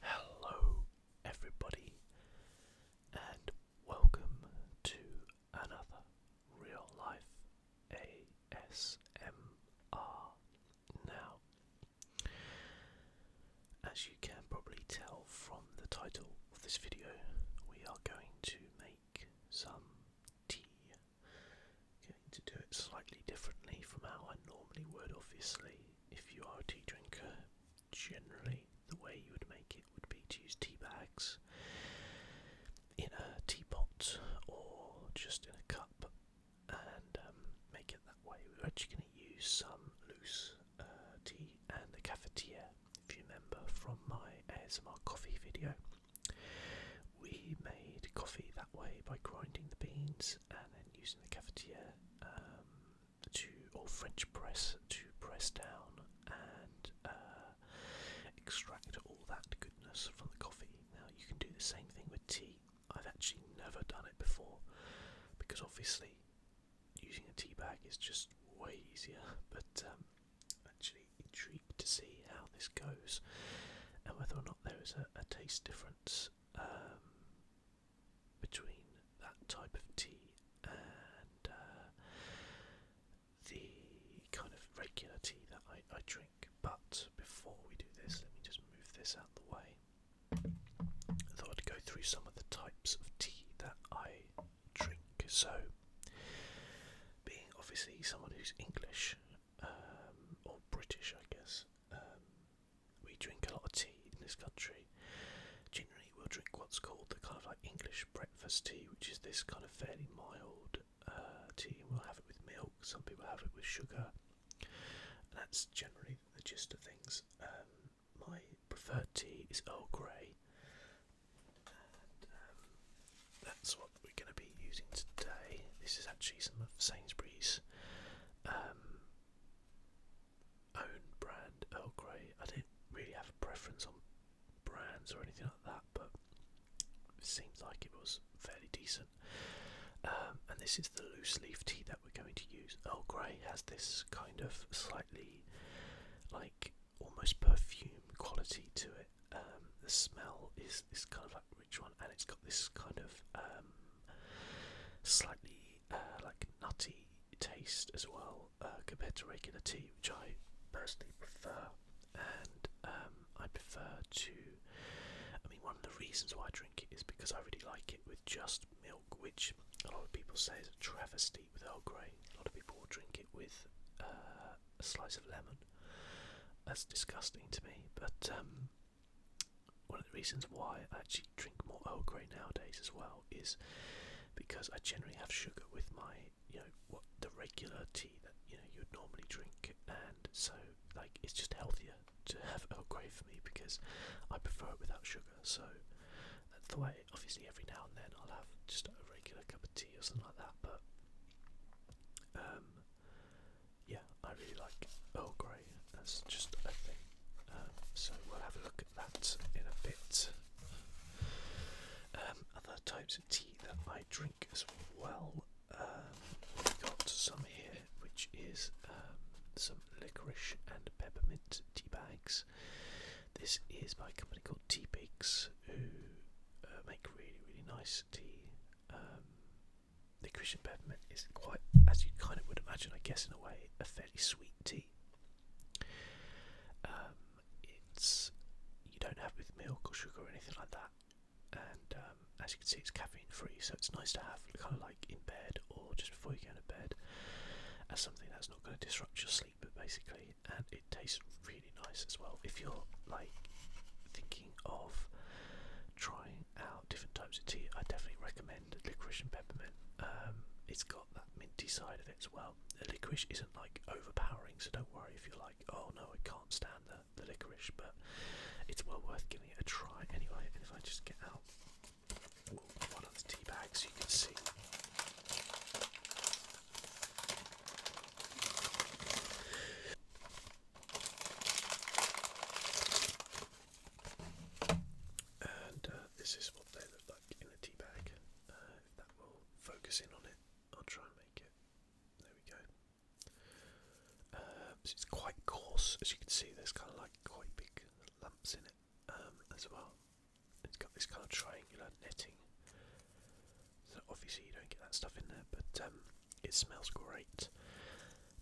Hello, everybody, and welcome to another real life ASMR. Now, as you can probably tell from the title of this video, we are going to make some tea Going to do it slightly differently from how I normally would, obviously. If you are a tea drinker, generally the way you would make it would be to use tea bags in a teapot or just in a cup and um, make it that way. We're actually going to use some loose uh, tea and the cafetiere. If you remember from my ASMR coffee video, we made coffee way by grinding the beans and then using the cafetiere um, to or French press to press down and uh, extract all that goodness from the coffee. Now you can do the same thing with tea. I've actually never done it before because obviously using a tea bag is just way easier. But um, actually intrigued to see how this goes and whether or not there is a, taste difference um, between that type of tea and uh, the kind of regular tea that I, I drink. But before we do this, let me just move this out of the way. I thought I'd go through some of the types of tea that I drink. So, being obviously someone who's English, um, or British, I guess. Um, we drink a lot of tea in this country. Generally, we'll drink what's called the kind of like English breakfast tea, which is this kind of fairly mild uh, tea, we'll have it with milk. Some people have it with sugar. that's generally the gist of things. Um, my preferred tea is Earl Grey, that's what we're going to be using today. This is actually some of Sainsbury's um, own brand Earl Grey. I don't really have a preference on brands or anything like that, but it seems like it was fairly decent. Um, and this is the loose leaf tea that we're going to use. Earl Grey has this kind of slightly like almost perfume quality to it. Um, the smell is is kind of like rich one, and it's got this kind of um, slightly uh, like nutty taste as well uh, compared to regular tea, which I personally prefer. And um, I prefer to. I mean, one of the reasons why I drink it is because I really like it with just milk, which a lot of people say is a travesty with Earl Grey. A lot of people drink it with uh, a slice of lemon, that's disgusting to me. But um, one of the reasons why I actually drink more Earl Grey nowadays as well is because I generally have sugar with my, you know, what the regular tea that you know you'd normally drink, and so like it's just healthier to have Earl Grey for me because I prefer it without sugar. So that's the way. Obviously, every now and then I'll have just a regular cup of tea or something like that, but. Um, yeah, I really like Earl Grey. That's just a thing. Um, so we'll have a look at that in a bit. Um, um, other types of tea that I drink as well. we've got some here, which is some licorice and peppermint tea bags. This is by a company called Tea Pigs, who uh, make really, really nice tea. The Christian peppermint is quite, as you kind of would imagine, I guess, in a way, a fairly sweet tea. Um, it's you don't have with milk or sugar or anything like that, and um, as you can see, it's caffeine free, so it's nice to have kind of like in bed or just before you go to bed as something that's not going to disrupt your sleep, but basically, and it tastes really nice as well. If you're like thinking of trying out different types of tea, I definitely recommend licorice and peppermint. Um, it's got that minty side of it as well. The licorice isn't like overpowering, so don't worry if you're like, oh no, I can't stand the, the licorice, but it's well worth giving it a try anyway. And if I just get out one of the tea bags, so you can see. And uh, this is what they look like in a tea bag. Uh, if that will focus in on it, I'll try and make it. There we go. Um, it's quite coarse, as you can see. There's kind of like quite big lumps in it um, as well. It's got this kind of triangular netting so obviously you don't get that stuff in there, but um, it smells great.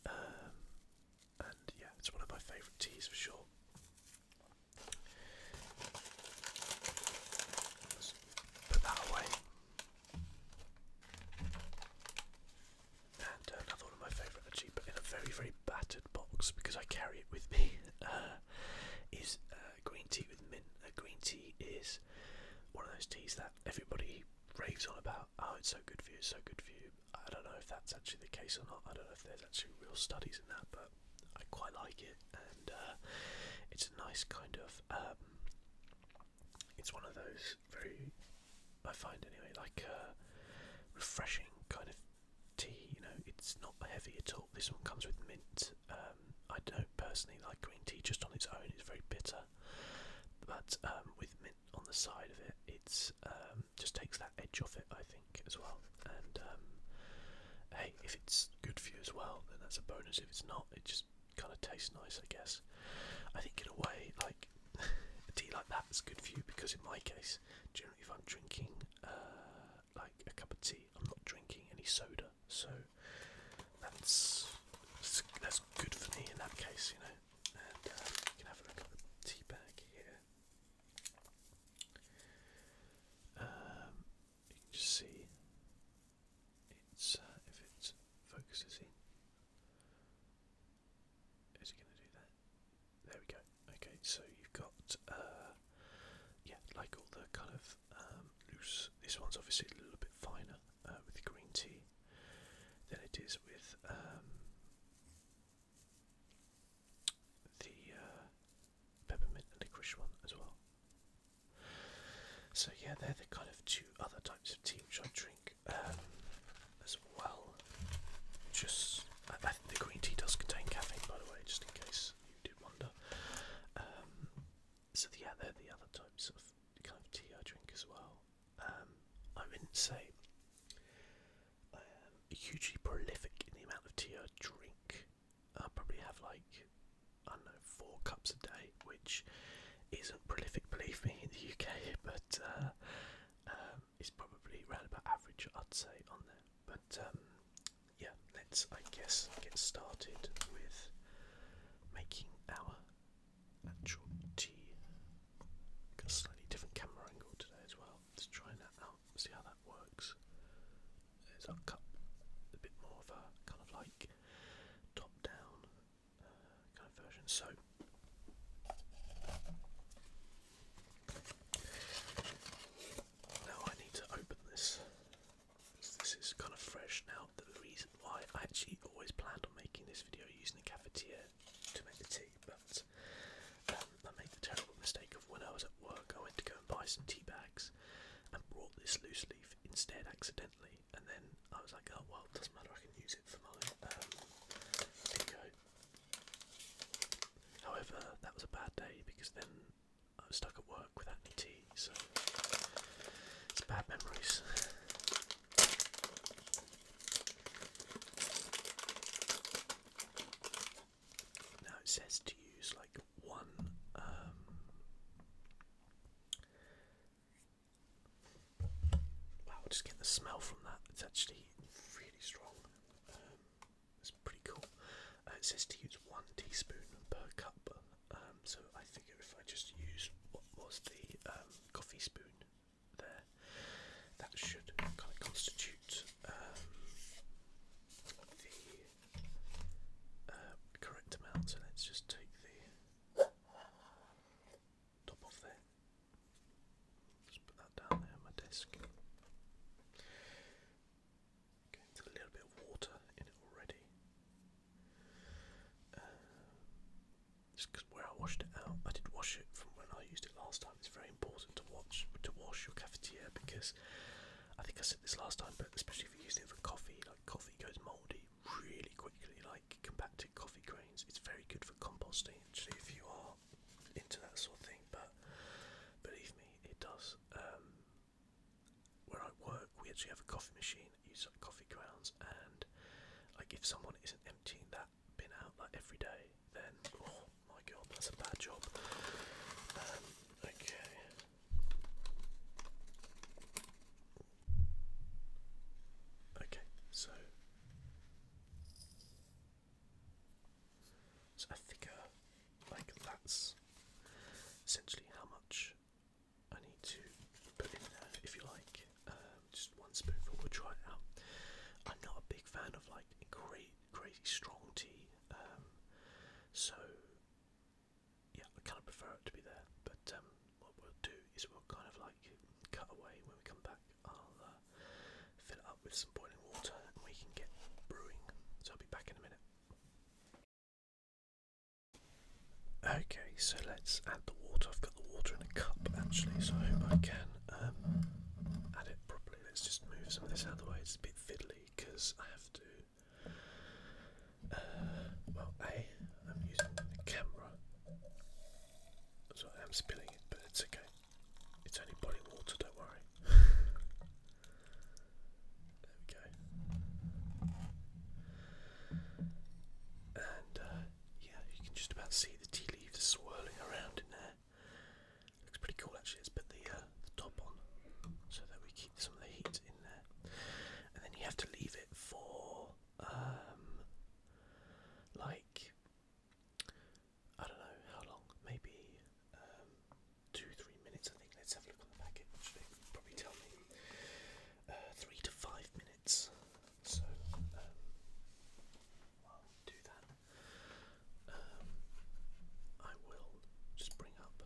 Um, and yeah, it's one of my favourite teas for sure. Let's put that away. And another one of my favourite but in a very, very battered box because I carry it with me, uh, is uh, green tea with mint. Uh, green tea is one of those teas that everybody raves on about. Oh, it's so good for you, so good for you. I don't know if that's actually the case or not. I don't know if there's actually real studies in that, but I quite like it, and uh, it's a nice kind of. Um, it's one of those very, I find anyway, like uh, refreshing kind of tea. You know, it's not heavy at all. This one comes with mint. Um, I don't personally like green tea just on its own. It's very bitter. But um, with mint on the side of it, it um, just takes that edge off it, I think, as well. And um, hey, if it's good for you as well, then that's a bonus. If it's not, it just kind of tastes nice, I guess. I think in a way, like a tea like that is good for you because in my case, generally, if I'm drinking uh, like a cup of tea, I'm not drinking any soda so that's that's good for me in that case, you know. And uh, you can have a look at the tea bag here. Um, you can just see it's uh, if it focuses in. Is it going to do that? There we go. Okay, so you've got uh, yeah, like all the kind of um, this one's obviously a little bit finer uh, with the green tea than it is with um, the uh, peppermint and licorice one as well. So yeah, they're the kind of two other types of tea which I drink um, as well. Just I, think the green tea does contain caffeine, by the way, just in case you did wonder. so yeah, they're the other types of kind of tea I drink as well. Um, I wouldn't say um, hugely prolific in the amount of tea I drink. I probably have like I don't know four cups a day, which isn't prolific, believe me, in the UK, but uh, um, it's probably around about average, I'd say, on there. But yeah, let's I guess get started with making our actual tea. Got a slightly different camera angle today as well. Let's try that out, see how that works. There's our cup, a bit more of a kind of like top down uh, kind of version. So, now I need to open this this is kind of fresh now. The reason why I actually always planned on making this video using the cafetiere to make the tea, but um, I made the terrible mistake of when I was at work, I went to go and buy some tea bags and brought this loose leaf instead accidentally, and then I was like, oh well, it doesn't matter, I can use it for my um, video. However, that was a bad day because then I'm stuck at work without any tea, so it's bad memories. Now it says to use like one um, Wow, just get the smell from that. It's actually really strong. Um, it's pretty cool. Uh, it says to use one teaspoon per cup um, so I figure if I just use what was the um, coffee spoon there, that should kind of constitute um, the uh, correct amount. So let's just take the top off there. Just put that down there on my desk it's a little bit of water in it already. Um, just because where I washed it out, I did wash it from when I used it last time. It's very important to watch to wash your cafetiere because I think I said this last time, but especially if you are using it for coffee, like coffee goes mouldy really quickly, like compacted coffee grains. It's very good for composting actually if you are into that sort of thing, but believe me, it does. Um, where I work, we actually have a coffee machine that uses coffee grounds, and like if someone isn't emptying that bin out like every day, then oh my god, that's a bad job. Um, okay. Okay, so so I think uh, like that's essentially how much I need to put in there, if you like, um, just one spoonful. We'll try it out. I'm not a big fan of like great, crazy strong tea, um, so yeah, I kind of prefer it to be there. But um, what we'll do is we'll kind of like cut away when we come back. I'll uh, fill it up with some boiling water, and we can get brewing. So I'll be back in a minute. Okay, so let's add the water. I've got the water in a cup actually, so I hope I can um, add it properly. Let's just move some of this out the way. It's a bit fiddly because I have to. Uh, well, A, I'm using the camera, so I am spilling it, but it's okay. It's only body water, don't worry. There we go. And uh, yeah, you can just about see the tea leaves swirling around in there. Looks pretty cool actually. Let's put uh, the, top on so that we keep some of the heat in there. And then you have to leave it for um, like I don't know how long, maybe um, two, three minutes, I think. Let's have a look on the packet. They probably tell me uh, three to five minutes. So um, do that. Um, I will just bring up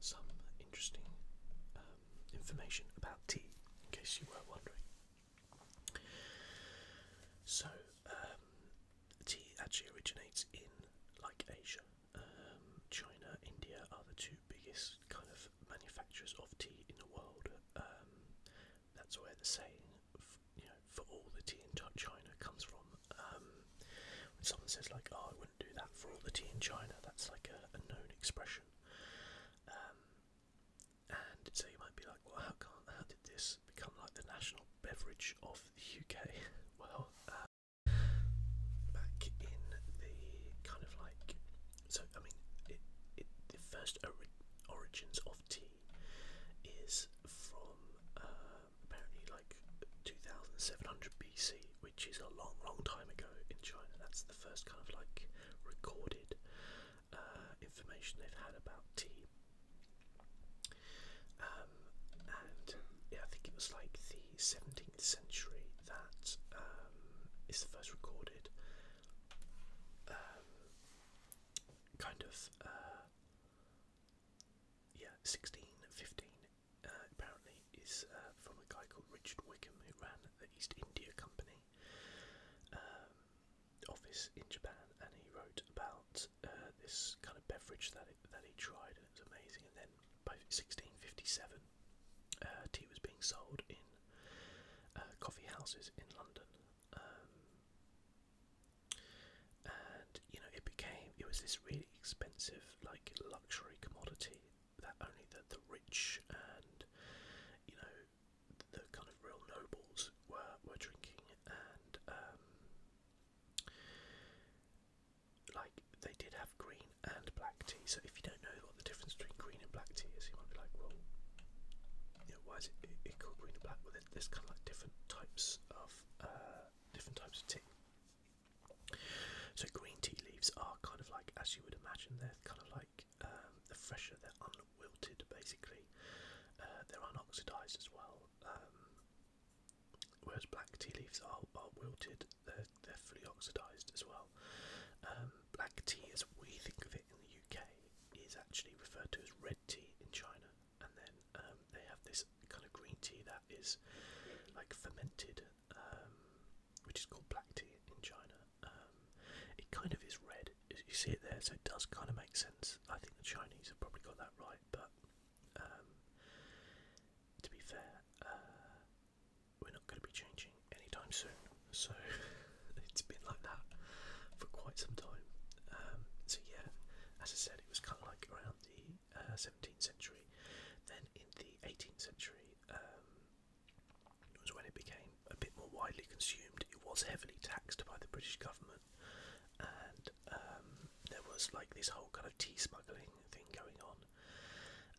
some interesting um, information about tea, in case you were wondering. So, tea actually originates in like Asia, um, China, India are the two biggest kind of manufacturers of tea in the world. Um, that's where the saying, you know, for all the tea in China comes from. Um, when someone says like, "Oh, I wouldn't do that for all the tea in China," that's like a, known expression. Um, and so you might be like, "Well, how can how did this become like the national beverage of the UK?" well, uh, back in the kind of like so I mean it, the first origins of tea is from uh, apparently like 2700 BC, which is a long, long time ago in China. That's the first kind of like recorded uh, information they've had about tea. Uh, and yeah, I think it was like the 17th century that um, the first recorded um, kind of uh, yeah 1615 uh, apparently is uh, from a guy called Richard Wickham who ran the East India Company um, office in Japan and he wrote about this kind of beverage that that he tried, and it was amazing. And then by 1657, uh, tea was being sold in uh, coffee houses in London, um, and you know it became it was this really expensive, like luxury commodity that only the the rich and you know the kind of real nobles were were drinking and. Um, like they did have green and black tea. So if you don't know what the difference between green and black tea is, you might be like, well, you know, why is it, it called green and black? Well, there's kind of like different types of uh, different types of tea. So green tea leaves are kind of like, as you would imagine, they're kind of like um, the fresher, they're unwilted basically. Uh, they're unoxidized as well. Um, Whereas black tea leaves are, are wilted, they're, they're fully oxidised as well. Um, black tea, as we think of it in the UK, is actually referred to as red tea in China, and then um, they have this kind of green tea that is like fermented, um, which is called black tea in China. it kind of is red, you see it there, so it does kind of make sense. I think the Chinese have probably got that right, but um, to be fair, uh, we're not going to be changing anytime soon, so it's been like that for quite some time. Um, so yeah, as I said, it was kind of like around the uh, 17th century. Then in the 18th century um, was when it became a bit more widely consumed. It was heavily taxed by the British government, and um, there was like this whole kind of tea smuggling thing going on,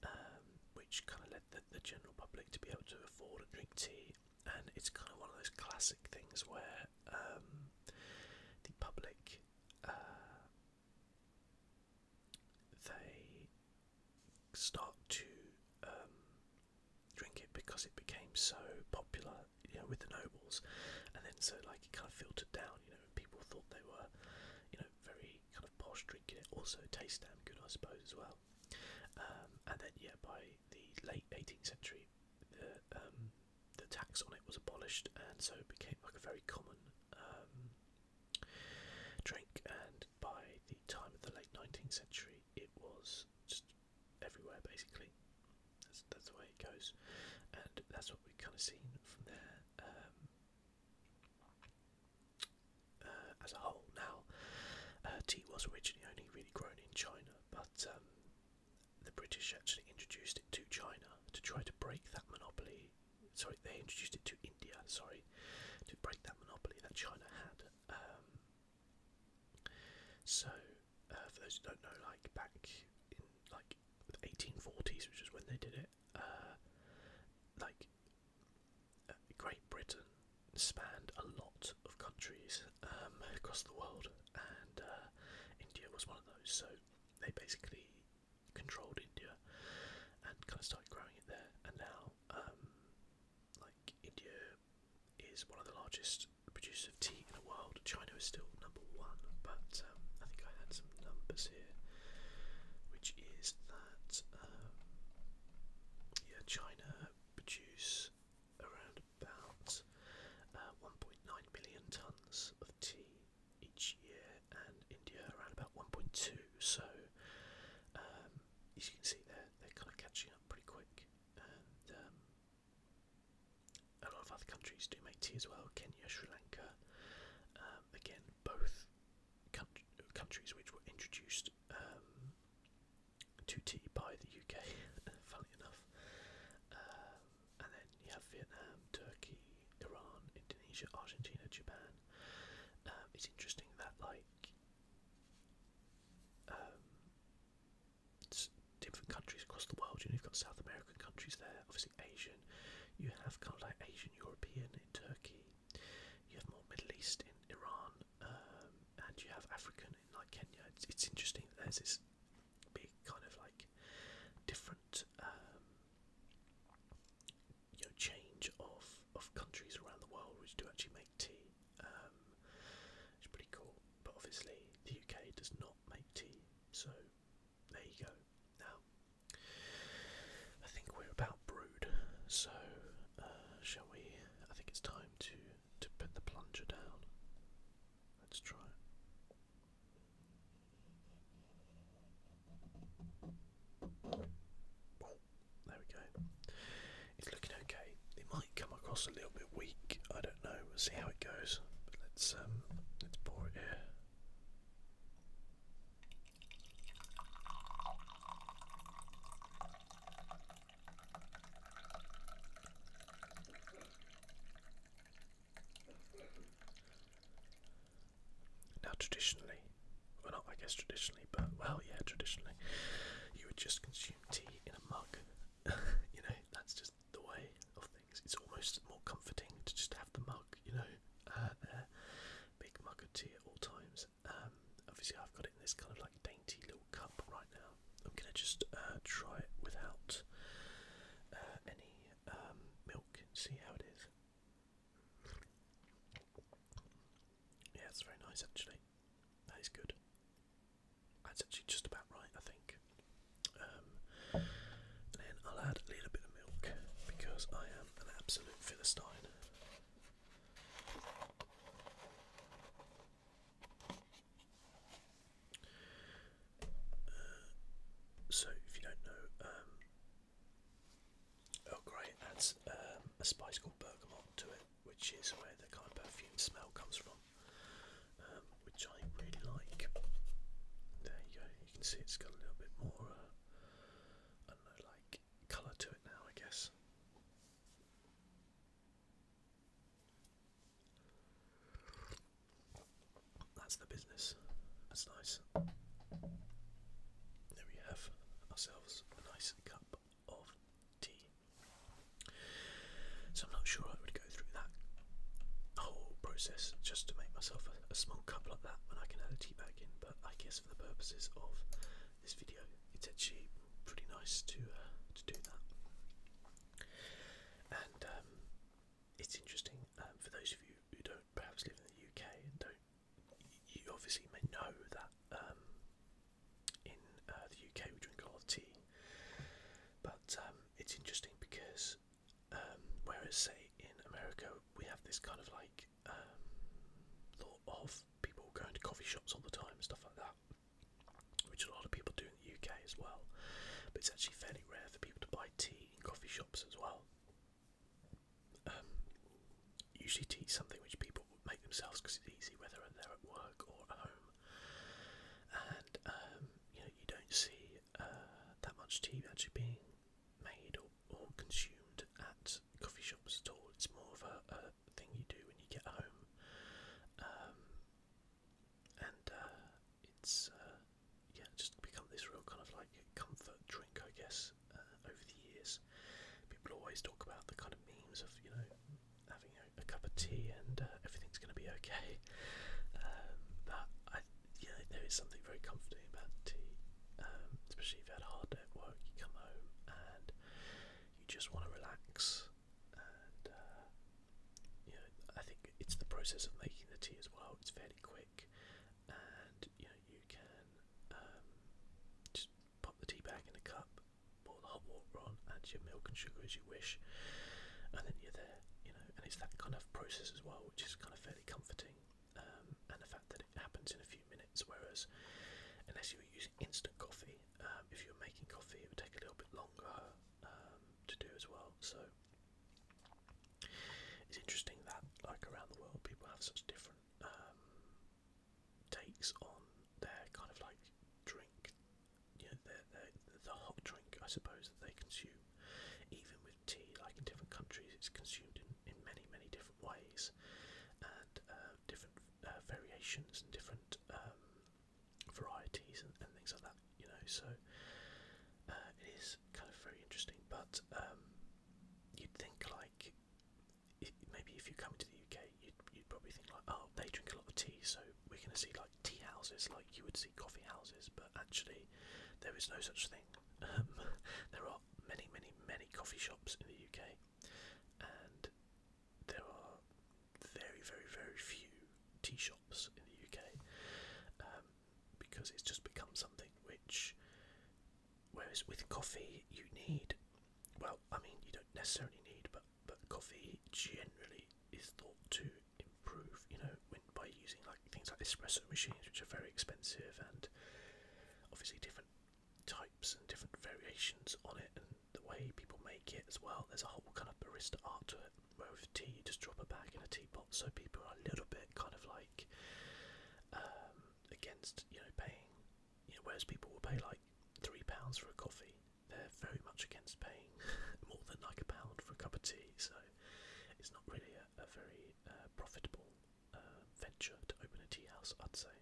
um, which kind of led the, the general public to be able to afford and drink tea. And it's kind of one of those classic things where um, the public uh, they start to um, drink it because it became so popular, you know, with the nobles, and then so like it kind of filtered down, you know, and people thought they were, you know, very kind of posh drinking it. Also, tastes damn good, I suppose, as well. Um, and then, yeah, by the late 18th century, the um, the tax on it was abolished, and so it became like a very common um, drink. And by the time of the late 19th century, it was just everywhere basically that's the way it goes, and that's what we've kind of seen from there um, uh, as a whole. Now, uh, tea was originally only really grown in China, but um, the British actually introduced it to China to try to break that monopoly. Sorry, they introduced it to India. Sorry, to break that monopoly that China had. Um, so, uh, for those who don't know, like back in like like the 1840s, which is when they did it, uh, like uh, Great Britain spanned a lot of countries um, across the world, and uh, India was one of those. So they basically controlled India and kind of started growing it there. And now, um, like India is one of the largest producers of tea in the world. China is still number one, but um, I think I had some numbers here, which is that um, yeah, China produces around about uh, 1.9 million tons of tea each year, and India around about 1.2. So um, as you can see, they're they're kind of catching up pretty quick, a lot of other countries do make tea as well. Kenya, Sri Lanka, um, again, both countries which were introduced um, to tea by the UK. funnily enough, um, and then you have Vietnam, Turkey, Iran, Indonesia, Argentina, Japan. it's interesting that like different countries across the world. You know, you've got South American countries there, obviously Asian. You have kind of like Asian European in Turkey. You have more Middle East in Iran, um, and you have African in like Kenya. It's, it's interesting there's this big kind of like different, um, you know, change of of countries around the world which do actually make tea. Um, it's pretty cool, but obviously the UK does not make tea, so there you go. Now, I think we're about brewed, so uh, shall we? I think it's time to to put the plunger down. Let's try. there we go. It's looking okay. It might come across a little bit weak. I don't know. We'll see how it goes. But let's um let's pour it here. Now, traditionally, well, not I guess traditionally, but well, yeah, traditionally, you would just consume tea in a mug. you know, that's just the way of things. It's almost more comforting to just have the mug, you know, uh, there. Big mug of tea at all times. Um, obviously, I've got it in this kind of like dainty little cup right now. I'm gonna just uh, try it without uh, any um, milk and see how it is. Yeah, it's very nice actually. That is good. That's actually just about right, I think. Um, then I'll add a little bit of milk because I am an absolute philistine. Uh, so, if you don't know, um, Earl Grey adds um, a spice called bergamot to it, which is where the kind of perfume smell comes from. Um, which I really like. There you go, you can see it's got a little bit more, uh, like colour to it now, I guess. That's the business. That's nice. There we have ourselves a nice cup of tea. So I'm not sure I would go through that whole process just to make myself a, small cup like that when I can add a tea bag in. But I guess for the purposes of this video, it's actually pretty nice to uh, to do that. And um, it's interesting um, for those of you who don't perhaps live in the UK and don't. You obviously may know that um, in uh, the UK we drink a lot of tea, but it's interesting because um, whereas, say, in America, we have this kind of like um, thought of people going to coffee shops all the time and stuff like that, which a lot of people do in the UK as well. But it's actually fairly rare for people to buy tea in coffee shops as well. Um, usually, tea is something which people make themselves because it's easy, whether they're at work or at home. And um, you know, you don't see uh, that much tea actually being made or, or consumed at coffee shops at all. It's more of a, a thing you do when you get home, um, and uh, it's uh, yeah, just become this real kind of like comfort drink, I guess. Uh, over the years, people always talk about the kind of memes of you know having a cup of tea and uh, everything's going to be okay. Um, but I, yeah, there is something very comforting about tea, um, especially if you had a hard day at work. You come home and you just want to relax, and uh, I think it's the process of making the tea as well. It's fairly quick, and you know, you can um, just pop the tea bag in a cup. Pour the hot water on, and your milk and sugar is as you wish, and then you're there, you know. And it's that kind of process as well, which is kind of fairly comforting, um, and the fact that it happens in a few minutes, whereas unless you were using instant coffee, um, if you were making coffee, it would take a little bit longer um, to do as well. So it's interesting that, like around the world, people have such different um, takes on their kind of like drink you know, they're, they're, the hot drink, I suppose, that they consume, even with tea, like in different countries, it's consumed in, in many, many different ways, and uh, different uh, variations and different um, varieties and, and things like that, you know. So uh, it is kind of very interesting, but um, you'd think like maybe if you come into the UK, you'd, you'd probably think like, oh, they drink a lot of tea, so we're going to see like tea houses like you would see coffee houses, but actually there is no such thing. Um, there are many, many, many coffee shops in the UK, and there are very, very, very few tea shops in the UK um, because it's just become something which, whereas with coffee, you need well, I mean, you don't necessarily need, but but coffee generally is thought to improve, you know, when, by using like things like espresso machines, which are very expensive, and obviously different types and different variations on it, and the way people make it as well. There's a whole kind of barista art to it. Where with tea, you just drop a bag in a teapot, so people are a little bit kind of like um, against, you know, paying. whereas people will pay like three pounds for a coffee, they're very much against paying more than like a pound for a cup of tea, so it's not really a, very uh, profitable uh, venture to open a tea house, I'd say.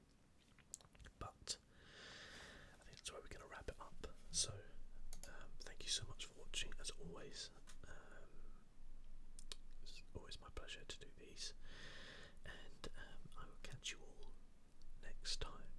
But I think that's where we're going to wrap it up. So um, thank you so much for watching, as always. Um, it's always my pleasure to do these, and um, I will catch you all next time.